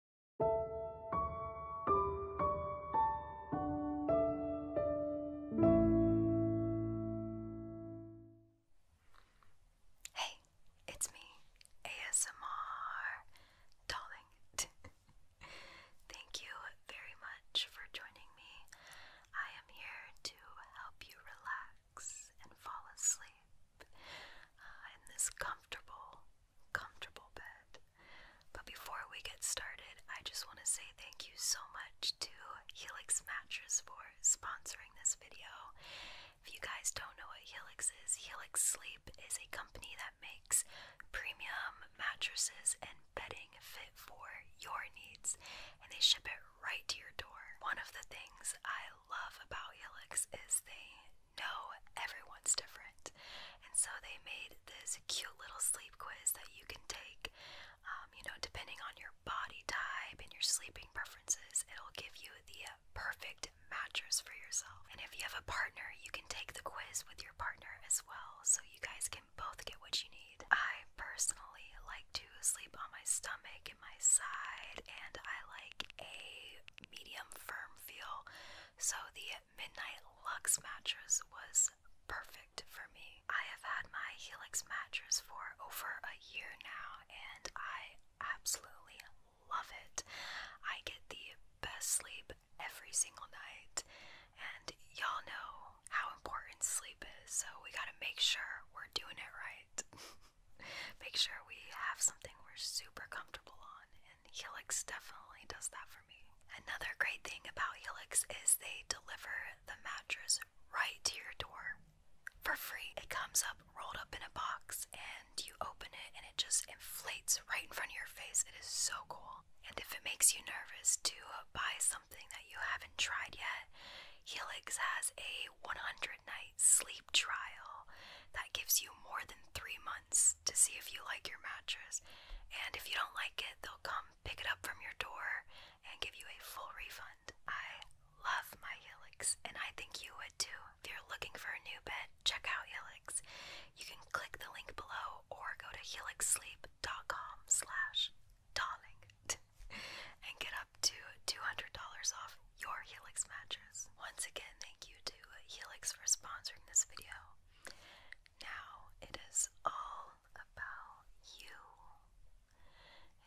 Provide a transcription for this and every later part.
Hey, it's me, ASMR Darling. Thank you very much for joining me. I am here to help you relax and fall asleep uh, in this comfortable comfortable bed. But before we get started, I just want to say thank you so much to Helix Mattress for sponsoring this video. If you guys don't know what Helix is, Helix Sleep is a company that makes premium mattresses and bedding fit for your needs, and they ship it right to your door. One of the things I love about Helix is they no, everyone's different. And so they made this cute little sleep quiz that you can take, um, you know, depending on your body type and your sleeping preferences. It'll give you the perfect mattress for yourself. And if you have a partner, you can take the quiz with your partner as well, so you guys can both get what you need. I personally like to sleep on my stomach and my side, and I like a medium firm feel so the Midnight Lux mattress was perfect for me. I have had my Helix mattress for over a year now and I absolutely love it. I get the best sleep every single night and y'all know how important sleep is, so we got to make sure we're doing it right. make sure we have something we're super comfortable on Helix definitely does that for me. Another great thing about Helix is they deliver the mattress right to your door for free. It comes up rolled up in a box and you open it and it just inflates right in front of your face. It is so cool. And if it makes you nervous to buy something that you haven't tried yet, Helix has a 100 night sleep trial that gives you more than three months to see if you like your mattress. And if you don't like it, they'll come pick it up from your door and give you a full refund. I love my Helix, and I think you would too. If you're looking for a new bed, check out Helix. You can click the link below or go to helixsleep.com slash darling and get up to $200 off your Helix mattress. Once again, thank you to uh, Helix for sponsoring this video. Now it is all about you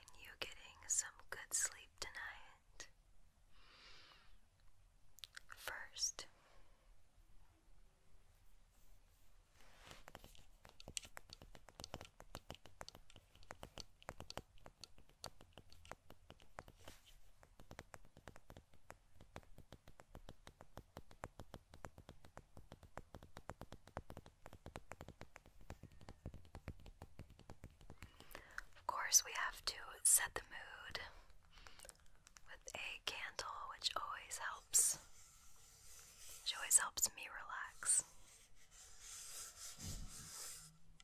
and you getting some good sleep tonight. First, of course, we have to set the mood with a candle, which always helps. Which always helps me relax.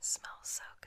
Smells so good.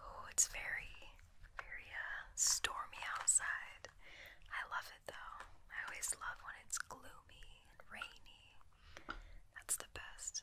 Oh, it's very, very uh, stormy outside. I love it though. I always love when it's gloomy and rainy. That's the best.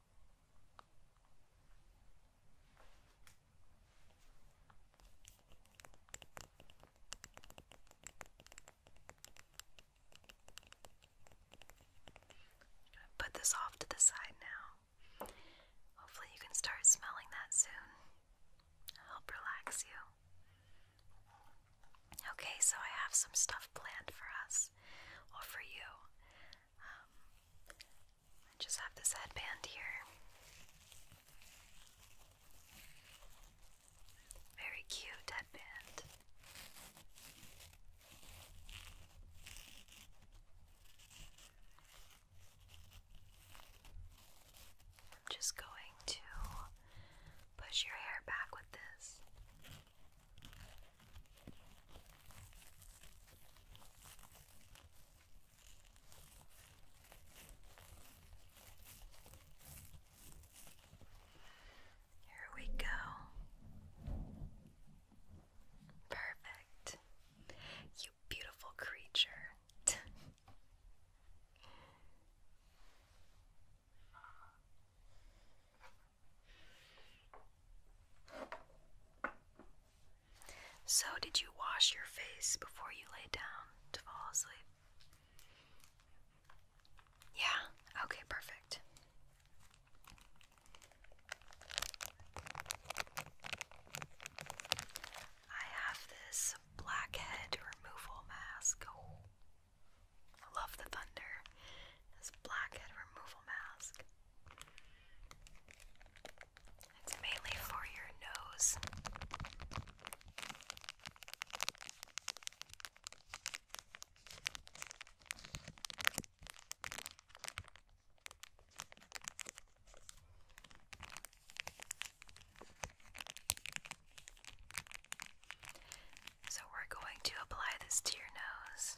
put this off to the side now. Hopefully, you can start smelling that soon. help relax you. Okay, so I have some stuff planned for us, or for you. Um, I just have this headband here. Very cute headband. I'm just going to push your hair back with this. Here we go. Perfect. You beautiful creature. So, did you wash your face before you lay down to fall asleep? Yeah, okay, perfect. I have this blackhead removal mask. Oh, I love the thunder. This blackhead removal mask. It's mainly for your nose. So, we're going to apply this to your nose.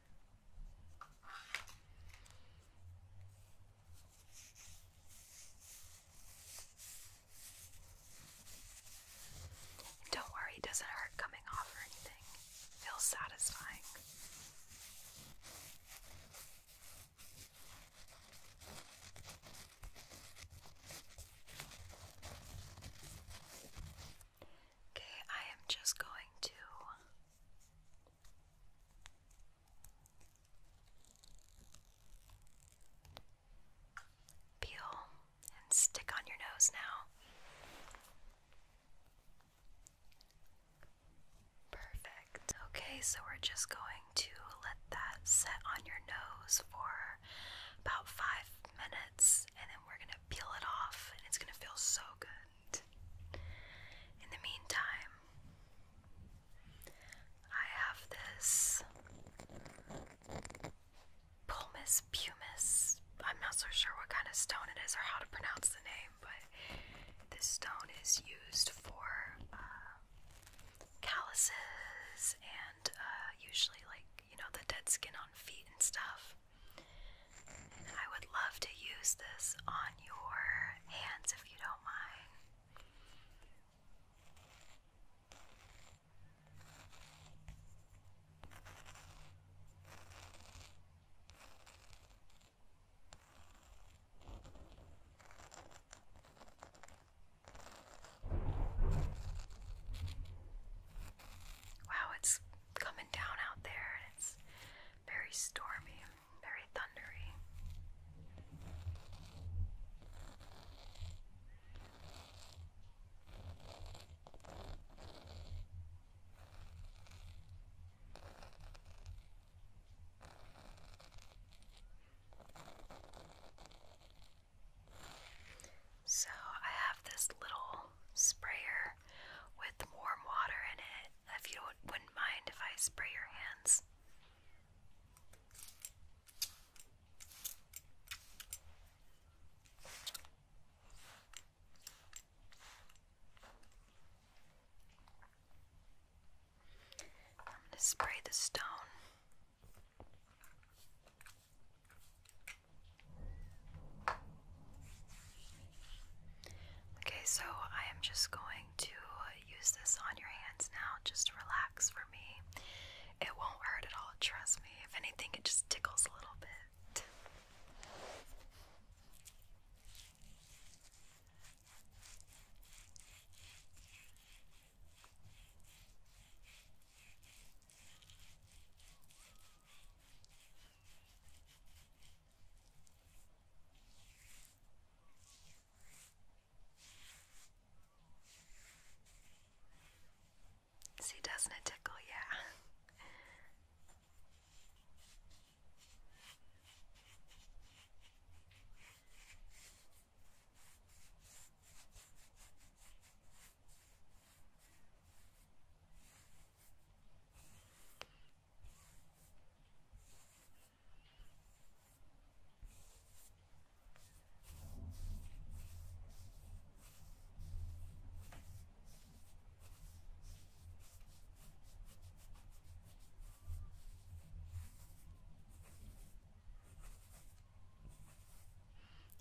And don't worry, it doesn't hurt coming off or anything. It feels satisfying. Okay, I am just going to peel and stick on your nose now. Perfect. Okay, so we're just going to let that set on your nose for about five minutes and then we're going to peel it off and it's going to feel so good in the meantime, I have this Pumice Pumice. I'm not so sure what kind of stone it is or how to pronounce the name, but this stone is used for uh, calluses and uh, usually, like, you know, the dead skin on feet and stuff. I would love to use this on your hands if you don't mind. Wow, it's coming down out there, and it's very stormy, very thundery. So, I have this little sprayer with the warm water in it, if you wouldn't mind if I spray your hands. I'm going to spray the stone. Okay, so I am just going to use this on your hands now. Just relax for me. It won't hurt at all, trust me. If anything, it just tickles a little bit. See, doesn't it tickle? Yeah.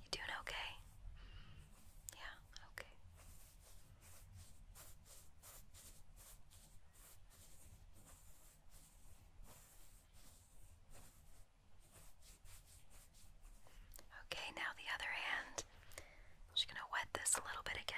You doing okay? Yeah, okay. Okay, now the other hand. just going to wet this a little bit again.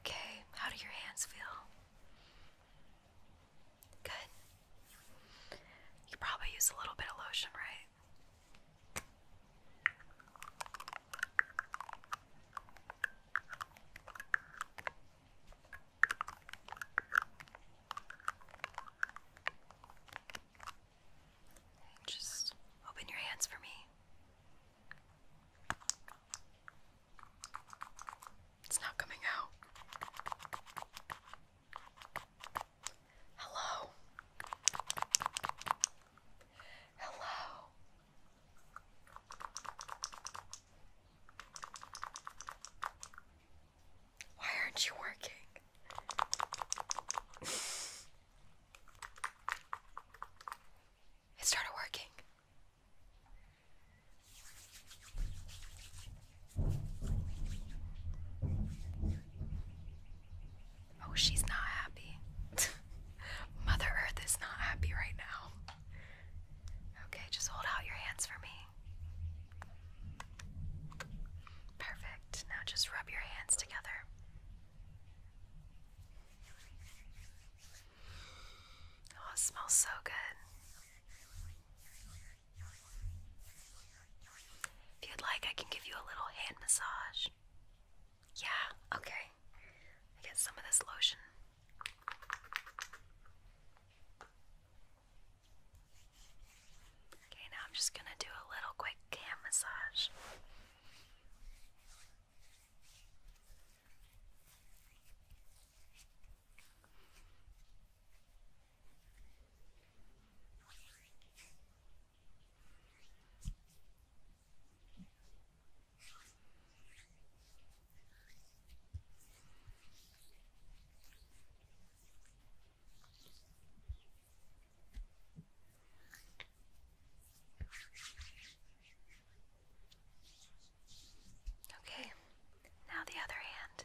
Okay, how do your hands feel? Good. You probably use a little bit of lotion, right? Just open your hands for me. It's not coming out. Hello. Hello. Why aren't you working? it started working. Oh, she's not happy. Mother Earth is not happy right now. Okay, just hold out your hands for me. Perfect. Now just rub your hands together. Oh, it smells so good. If you'd like, I can give you a little hand massage. Yeah, okay. I get some of this lotion. Okay, now I'm just gonna do a little quick hand massage. Okay, now the other hand.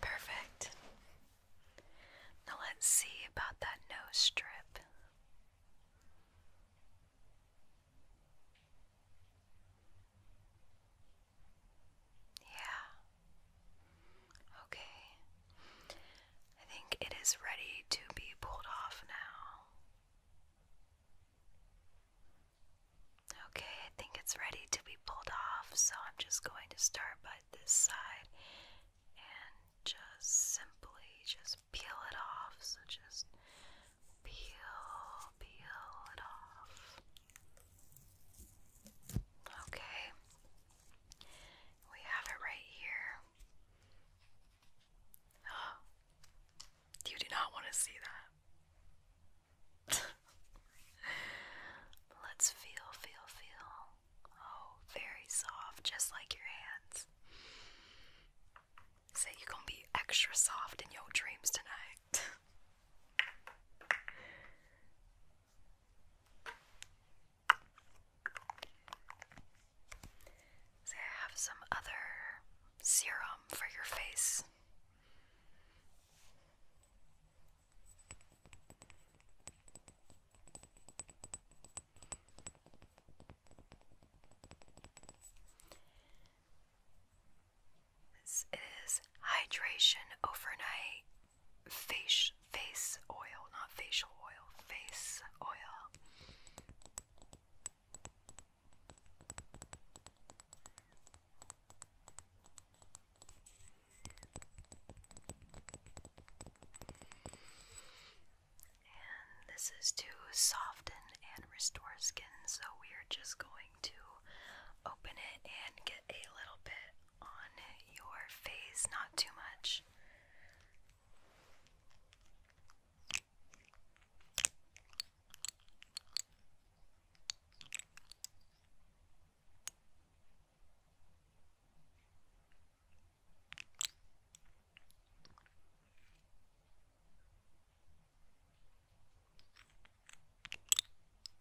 Perfect. Now let's see about that nose strip. Yeah. Okay. I think it is ready to be pulled off now. Okay, I think it's ready to be pulled off, so I'm just going to start by this side and just simply just peel it off. So just peel, peel it off. Okay, we have it right here. Oh, you do not want to see that. Let's feel, feel, feel. Oh, very soft, just like your hands. Say you gonna be extra soft in your dreams tonight. I have some other serum for your face. This is Hydration Overnight face face oil, not facial oil, face oil. And this is to soften and restore skin, so we are just going to open it and get a little bit on your face, not too much.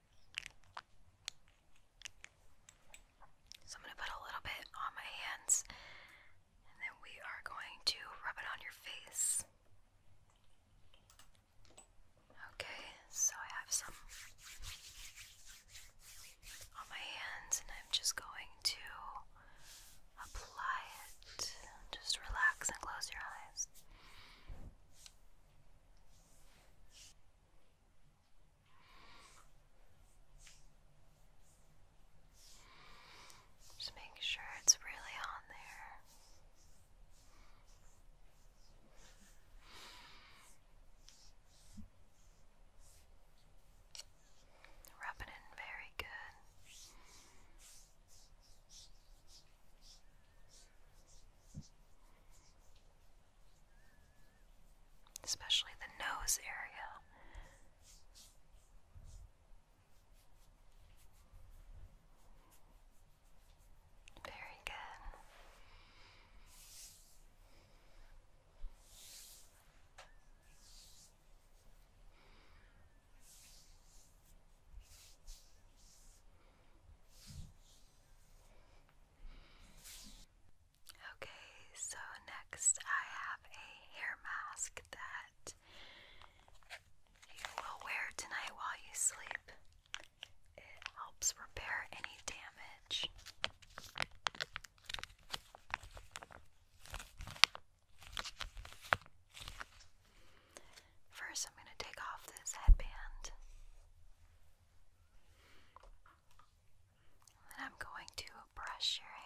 So I'm going to put a little bit on my hands and then we are going to rub it on your face. Okay, so I have some on my hands and I'm just going to apply it. Just relax and close your eyes. Just making sure it's really on there. Rubbing in very good especially the nose area. Very good. Okay, so next I have a hair mask that you will wear tonight while you sleep. It helps repair any damage. First, I'm going to take off this headband. then I'm going to brush your hair.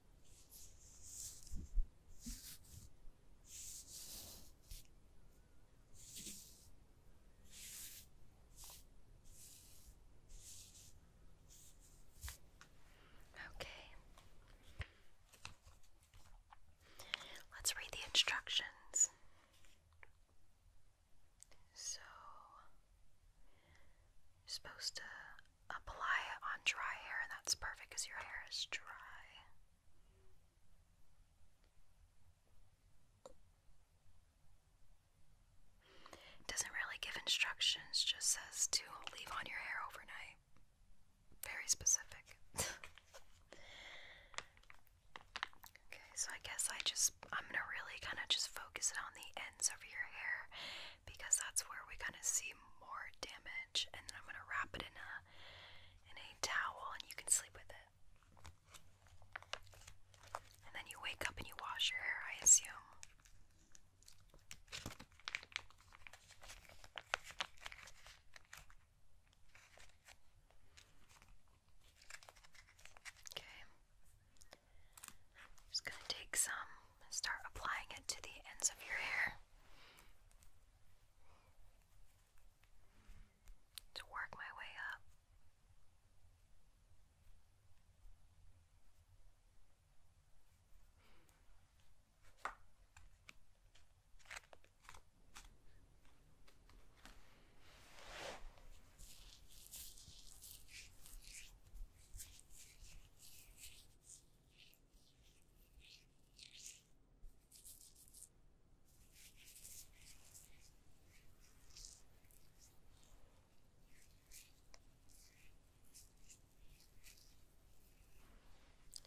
Okay. Let's read the instructions. So, supposed to apply it on dry hair, and that's perfect because your hair is dry. doesn't really give instructions, just says to leave on your hair overnight. Very specific. okay, so I guess I just, I'm gonna really kind of just focus it on the ends of your hair because that's where we kind of see more damage. And then I'm gonna wrap it in a in a towel, and you can sleep with it. And then you wake up and you wash your hair, I assume. Okay. just going to take some start applying it to the ends of your hair to work my way up.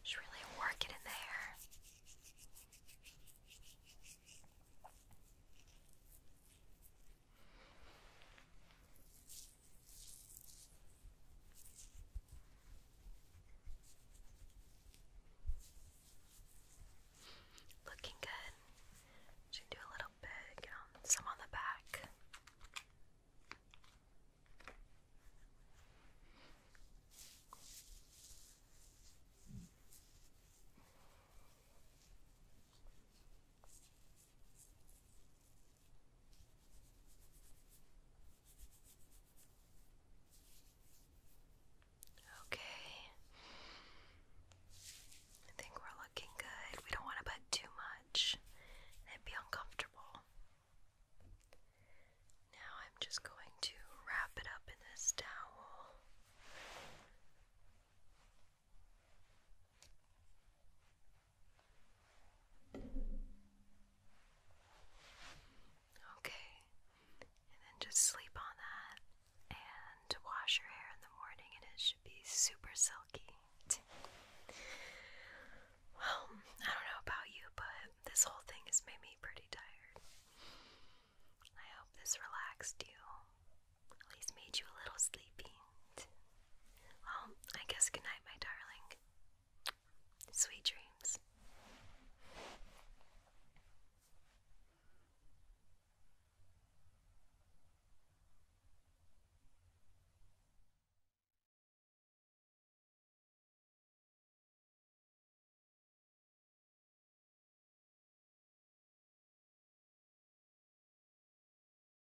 Just really work it in there. Looking good. Should do a little bit, some on the back. Okay. I think we're looking good. We don't want to put too much and be uncomfortable. Now I'm just going to wrap it up in this towel. Okay, and then just sleep on that and wash your hair in the morning, and it should be super silky. well, I don't know about you, but this whole thing has made me pretty tired. I hope this relaxed you, at least made you a little sleepy. Well, I guess good my darling. Sweet dreams.